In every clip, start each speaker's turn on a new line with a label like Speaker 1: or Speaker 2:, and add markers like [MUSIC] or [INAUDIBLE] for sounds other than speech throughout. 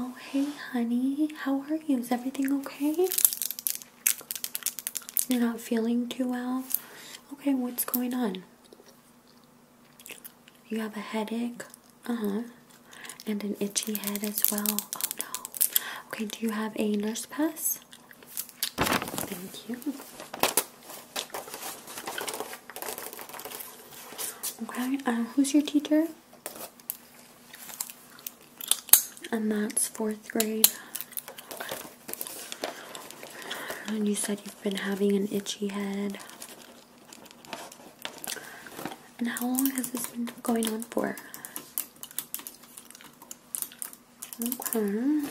Speaker 1: Oh, hey, honey. How are you? Is everything okay? You're not feeling too well? Okay, what's going on? You have a headache? Uh huh. And an itchy head as well? Oh, no. Okay, do you have a nurse pass? Thank you. Okay, uh, who's your teacher? And that's fourth grade. And you said you've been having an itchy head. And how long has this been going on for? Okay.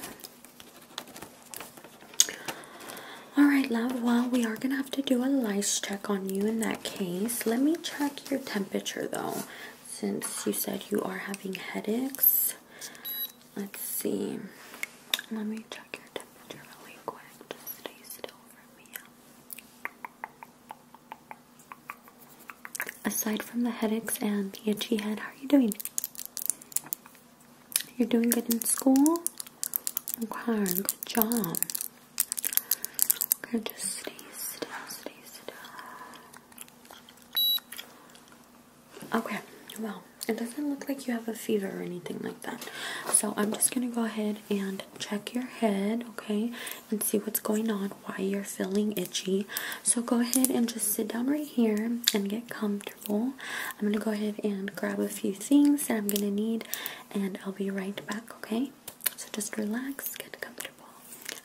Speaker 1: Alright, love. Well, we are going to have to do a lice check on you in that case. Let me check your temperature, though, since you said you are having headaches. Let's see. Let me check your temperature really quick. Just stay still for me aside from the headaches and the itchy head, how are you doing? You're doing good in school? Okay, good job. Okay, just stay still, stay still. Okay, well, it doesn't look like you have a fever or anything like that. So I'm just gonna go ahead and check your head, okay, and see what's going on, why you're feeling itchy. So go ahead and just sit down right here and get comfortable. I'm going to go ahead and grab a few things that I'm going to need, and I'll be right back, okay? So just relax, get comfortable.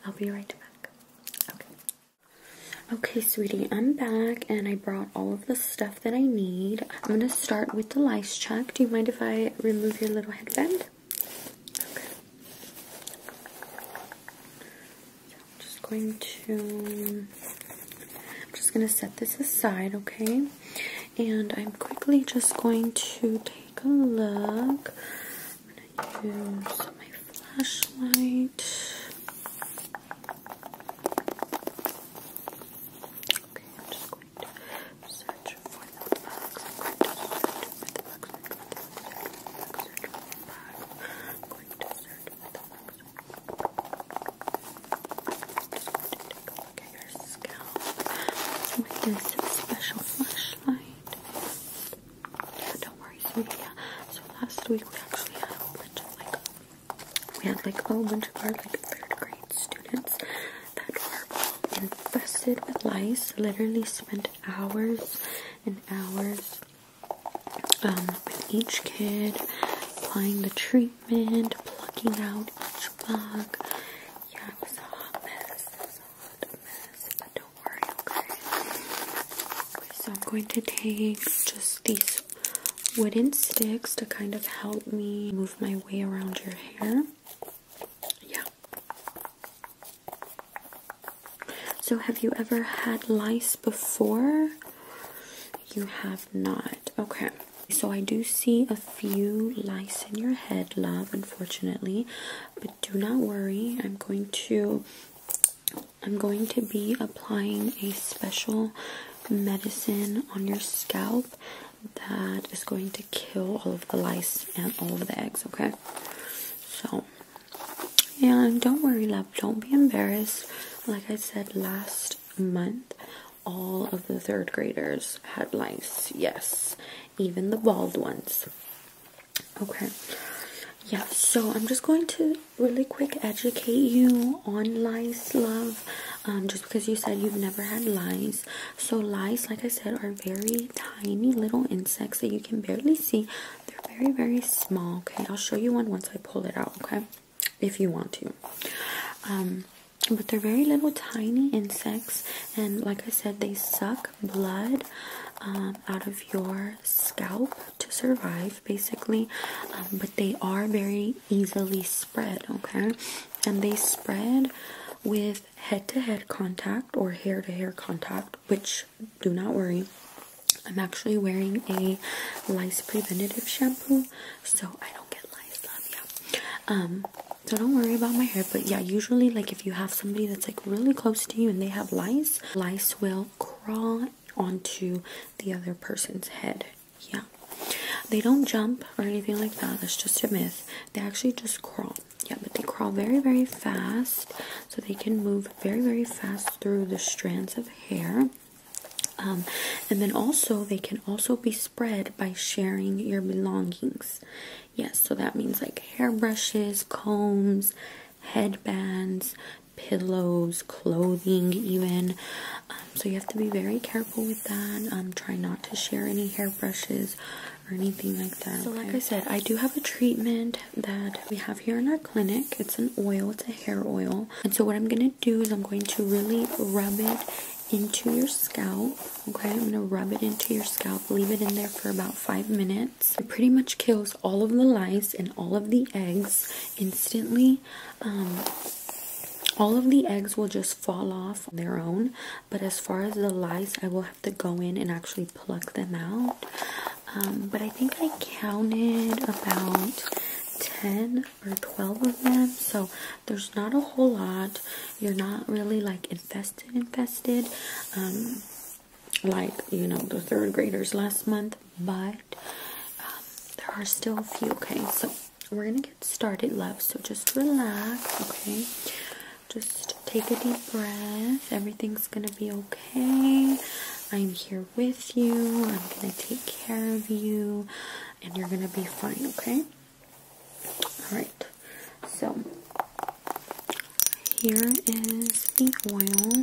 Speaker 1: I'll be right back. Okay. Okay, sweetie, I'm back and I brought all of the stuff that I need. I'm going to start with the lice check. Do you mind if I remove your little headband? I'm just going to just going to set this aside, okay? And I'm quickly just going to take a look. I'm going to use my flashlight. Okay, I'm just going to search for the bugs going to start with the going to take scalp with this special flashlight. Yeah, don't worry, sweetie. So last week we actually had a whole bunch of like we had like a whole bunch of our like third grade students that were infested with lice. Literally spent hours and hours um, with each kid, applying the treatment, plucking out each bug. Yeah, it was a hot mess. It was a hot mess, but don't worry, okay? So I'm going to take just these wooden sticks to kind of help me move my way around your hair. Yeah. So, have you ever had lice before? You have not. Okay. So, I do see a few lice in your head, love, unfortunately. But do not worry. I'm going to. I'm going to be applying a special medicine on your scalp that is going to kill all of the lice and all of the eggs, okay? So, yeah, don't worry, love, don't be embarrassed. Like I said last month, all of the third graders had lice. Yes, even the bald ones. Okay. Yeah, so I'm just going to really quick educate you on lice, love, um, just because you said you've never had lice. So lice, like I said, are very tiny little insects that you can barely see. They're very, very small. Okay, I'll show you one once I pull it out, okay? If you want to. Um, but they're very little tiny insects, and like I said, they suck blood um, out of your scalp to survive basically. Um, but they are very easily spread, okay? And they spread with head to head contact or hair to hair contact, which do not worry. I'm actually wearing a lice preventative shampoo, so I don't get lice. Love you. Um, so don't worry about my hair. But yeah, usually like if you have somebody that's like really close to you and they have lice, lice will crawl onto the other person's head. Yeah. They don't jump or anything like that. That's just a myth. They actually just crawl yeah, but they crawl very, very fast, so they can move very, very fast through the strands of hair. Um, and then also, they can also be spread by sharing your belongings. Yes, so that means like hairbrushes, combs, headbands, pillows, clothing, even. Um, so you have to be very careful with that. Um, try not to share any hairbrushes or anything like that. So, like I said, I do have a treatment that we have here in our clinic. It's an oil, it's a hair oil. And so, what I'm going to do is I'm going to really rub it into your scalp. Okay, I'm going to rub it into your scalp, leave it in there for about five minutes. It pretty much kills all of the lice and all of the eggs instantly. Um, all of the eggs will just fall off their own but as far as the lice i will have to go in and actually pluck them out um, but i think i counted about 10 or 12 of them so there's not a whole lot you're not really like infested infested um, like you know the third graders last month but um, there are still a few okay so we're gonna get started love so just relax okay just take a deep breath. Everything's going to be okay. I'm here with you. I'm going to take care of you. And you're going to be fine, okay? Alright, so here is the oil.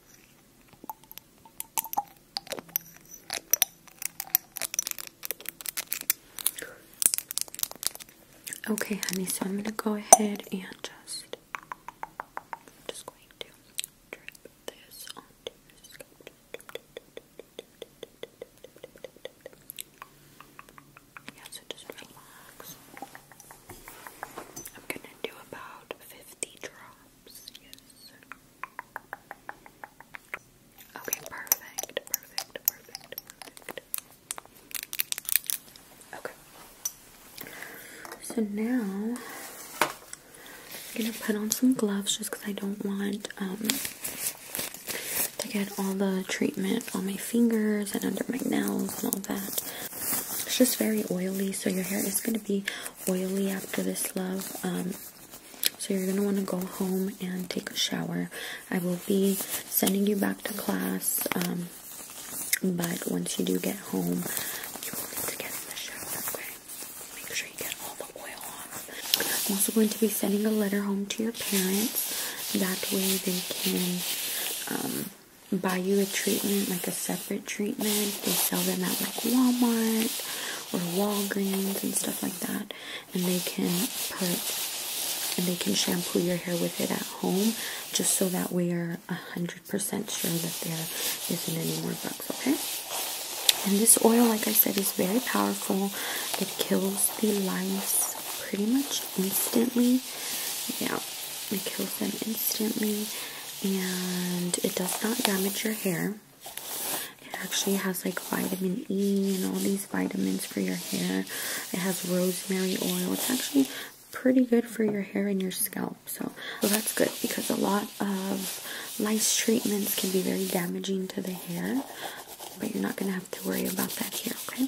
Speaker 1: Okay, honey, so I'm going to go ahead and just, just going to drip this onto just relax. I'm going to do about 50 drops. Okay, perfect, perfect, perfect, Okay. So now I'm gonna put on some gloves just because I don't want um, to get all the treatment on my fingers and under my nails and all that. It's just very oily, so your hair is gonna be oily after this, love. Um, so you're going to want to go home and take a shower. I will be sending you back to class, um, but once you do get home, you will need to get in the shower, Make sure you get all the oil off. I'm also going to be sending a letter home to your parents. That way they can um, buy you a treatment, like a set treatment. They sell them at like Walmart or Walgreens and stuff like that. And they can put and they can shampoo your hair with it at home just so that we are 100% sure that there isn't any more bugs, okay? And this oil, like I said, is very powerful. It kills the lice pretty much instantly. Yeah, it kills them instantly and it does not damage your hair. It actually has like vitamin E and all these vitamins for your hair. It has rosemary oil. It's actually pretty good for your hair and your scalp. So, that's good because a lot of lice treatments can be very damaging to the hair. But you're not going to have to worry about that here, okay?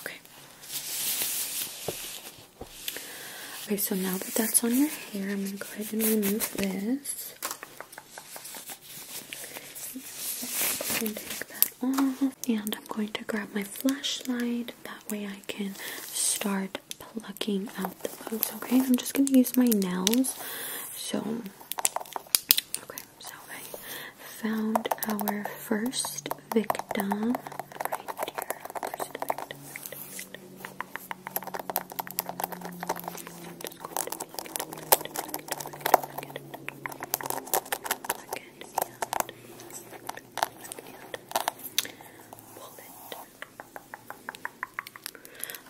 Speaker 1: Okay. Okay, so now that that's on your hair, I'm going to go ahead and remove this. And take that off. And I'm going to grab my flashlight. That way I can start plucking out the bugs. Okay, I'm just going to use my nails. So, okay. So I found our first victim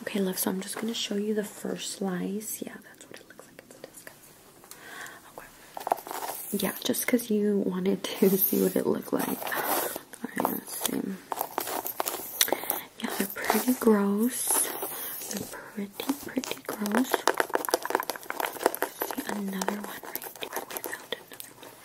Speaker 1: Okay, love, so I'm just going to show you the first slice. Yeah, that's what it looks like. Yeah, just because you wanted to [LAUGHS] see what it looked like. Yeah, they're pretty gross. They're pretty, pretty gross. another one right here. We found another one.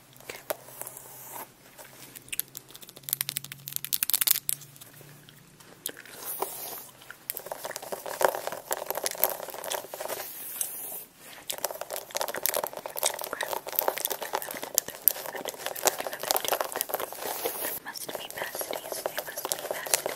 Speaker 1: Okay. It must be besties. They must be besties.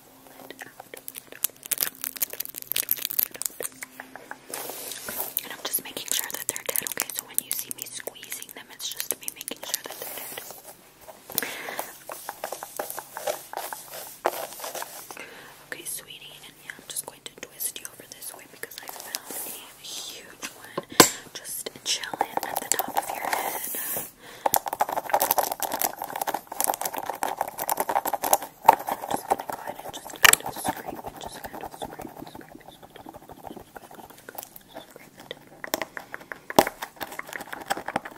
Speaker 1: And I'm just making sure that they're dead, okay? So when you see me squeezing them, it's just me making sure that they're dead. Okay, sweetie, and yeah, I'm just going to twist you over this way because I found a huge one just chilling at the top of your head just gonna go ahead and just kind of scrape and just kind of scrape and scrape and scrape it.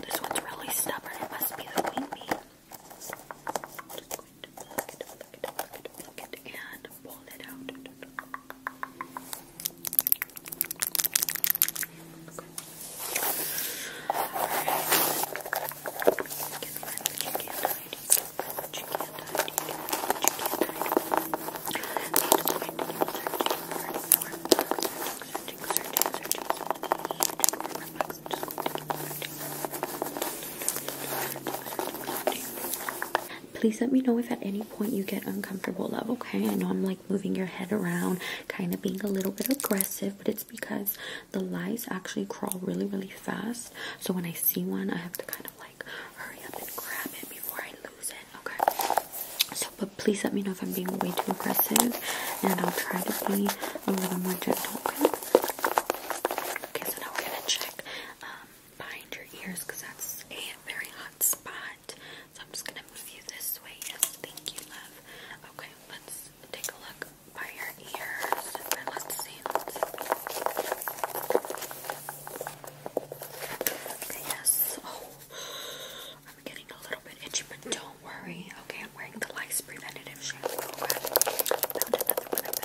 Speaker 1: This one's really stubborn. It must be the queen bee. Just going to pluck it, pluck it, pluck it, pluck it, and pull it out. Please let me know if at any point you get uncomfortable, love, okay? I know I'm like moving your head around, kind of being a little bit aggressive, but it's because the lice actually crawl really, really fast. So when I see one, I have to kind of like hurry up and grab it before I lose it. Okay. So, but please let me know if I'm being way too aggressive, and I'll try to be a little more gentle. Okay. So now we're gonna check um, behind your ears because that's a very hot spot. So I'm just gonna move you this way. Yes. Thank you, love. Okay. Let's take a look by your ears let's see. yes. Oh, I'm getting a little bit itchy, but don't worry. Okay, I'm wearing the lice preventative shampoo. And we grind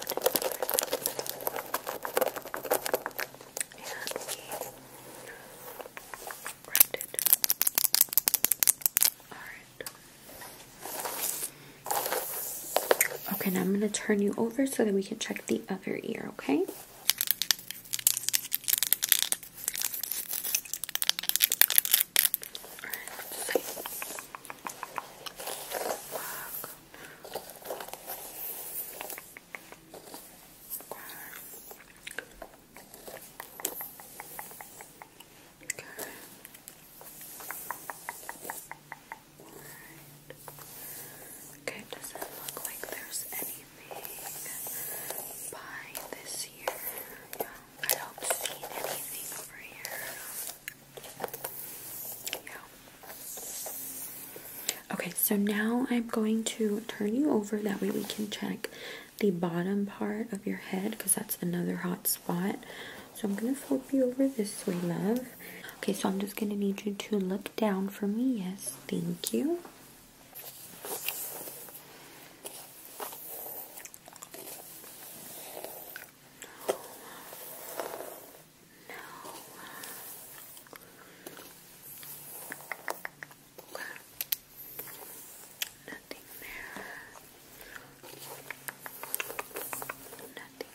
Speaker 1: it. Okay, now I'm going to turn you over so that we can check the other ear, okay? Okay. Alright. Okay, does it look like there's anything by this year? Yeah. I don't see anything over here. Yeah. Okay, so now I'm going to turn you over. That way we can check the bottom part of your head because that's another hot spot. So I'm gonna flip you over this way, love. Okay, so I'm just gonna need you to look down for me. Yes, thank you. Nothing there. Nothing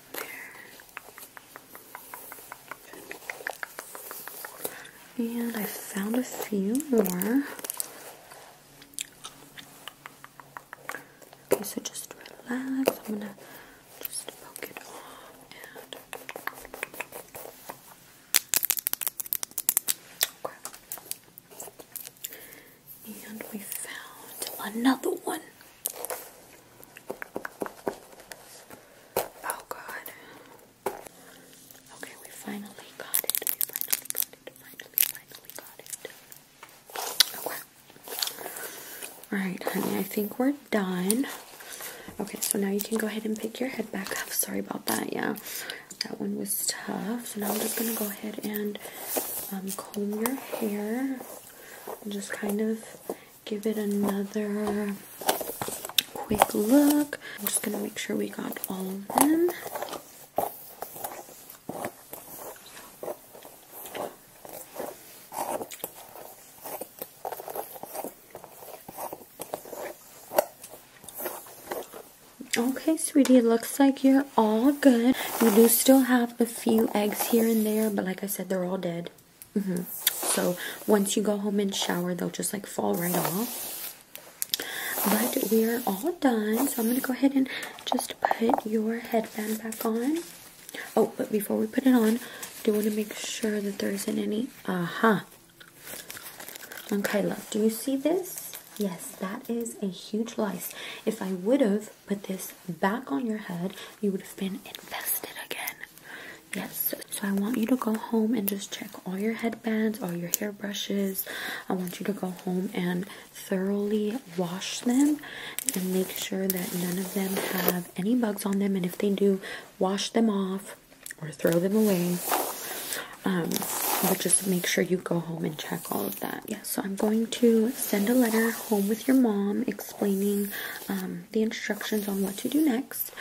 Speaker 1: there. And I found a few more. Okay, so just relax. I'm gonna just poke it off and we found another one. Oh god. Okay, we finally got it. We Alright, honey, I think we're done. Okay, so now you can go ahead and pick your head back up. Sorry about that, yeah. That one was tough. So now I'm just going to go ahead and um, comb your hair and just kind of give it another quick look. I'm just going to make sure we got all of them. Okay, sweetie, it looks like you're all good. You do still have a few eggs here and there, but like I said, they're all dead. Mm-hmm. So once you go home and shower, they'll just like fall right off. But we're all done, so I'm going to go ahead and just put your headband back on. Oh, but before we put it on, do want to make sure that there isn't any... Uh-huh. Okay, look. do you see this? Yes, that is a huge lice. If I would have put this back on your head, you would have been infested again. Yes, so I want you to go home and just check all your headbands, all your hair brushes. I want you to go home and thoroughly wash them and make sure that none of them have any bugs on them. And if they do, wash them off or throw them away. Um, but just make sure you go home and check all of that. Yeah, so I'm going to send a letter home with your mom explaining um, the instructions on what to do next.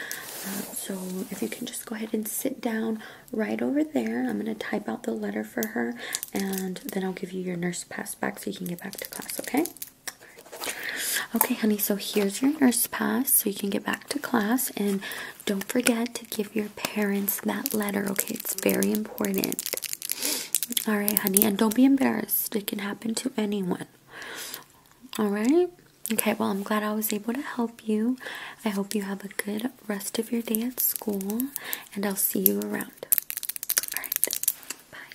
Speaker 1: Um, so if you can just go ahead and sit down right over there, I'm going to type out the letter for her and then I'll give you your nurse pass back so you can get back to class, okay? Okay, honey, so here's your nurse pass so you can get back to class and don't forget to give your parents that letter, okay? It's very important. All right, honey, and don't be embarrassed. It can happen to anyone. All right? Okay, well, I'm glad I was able to help you. I hope you have a good rest of your day at school, and I'll see you around. bye.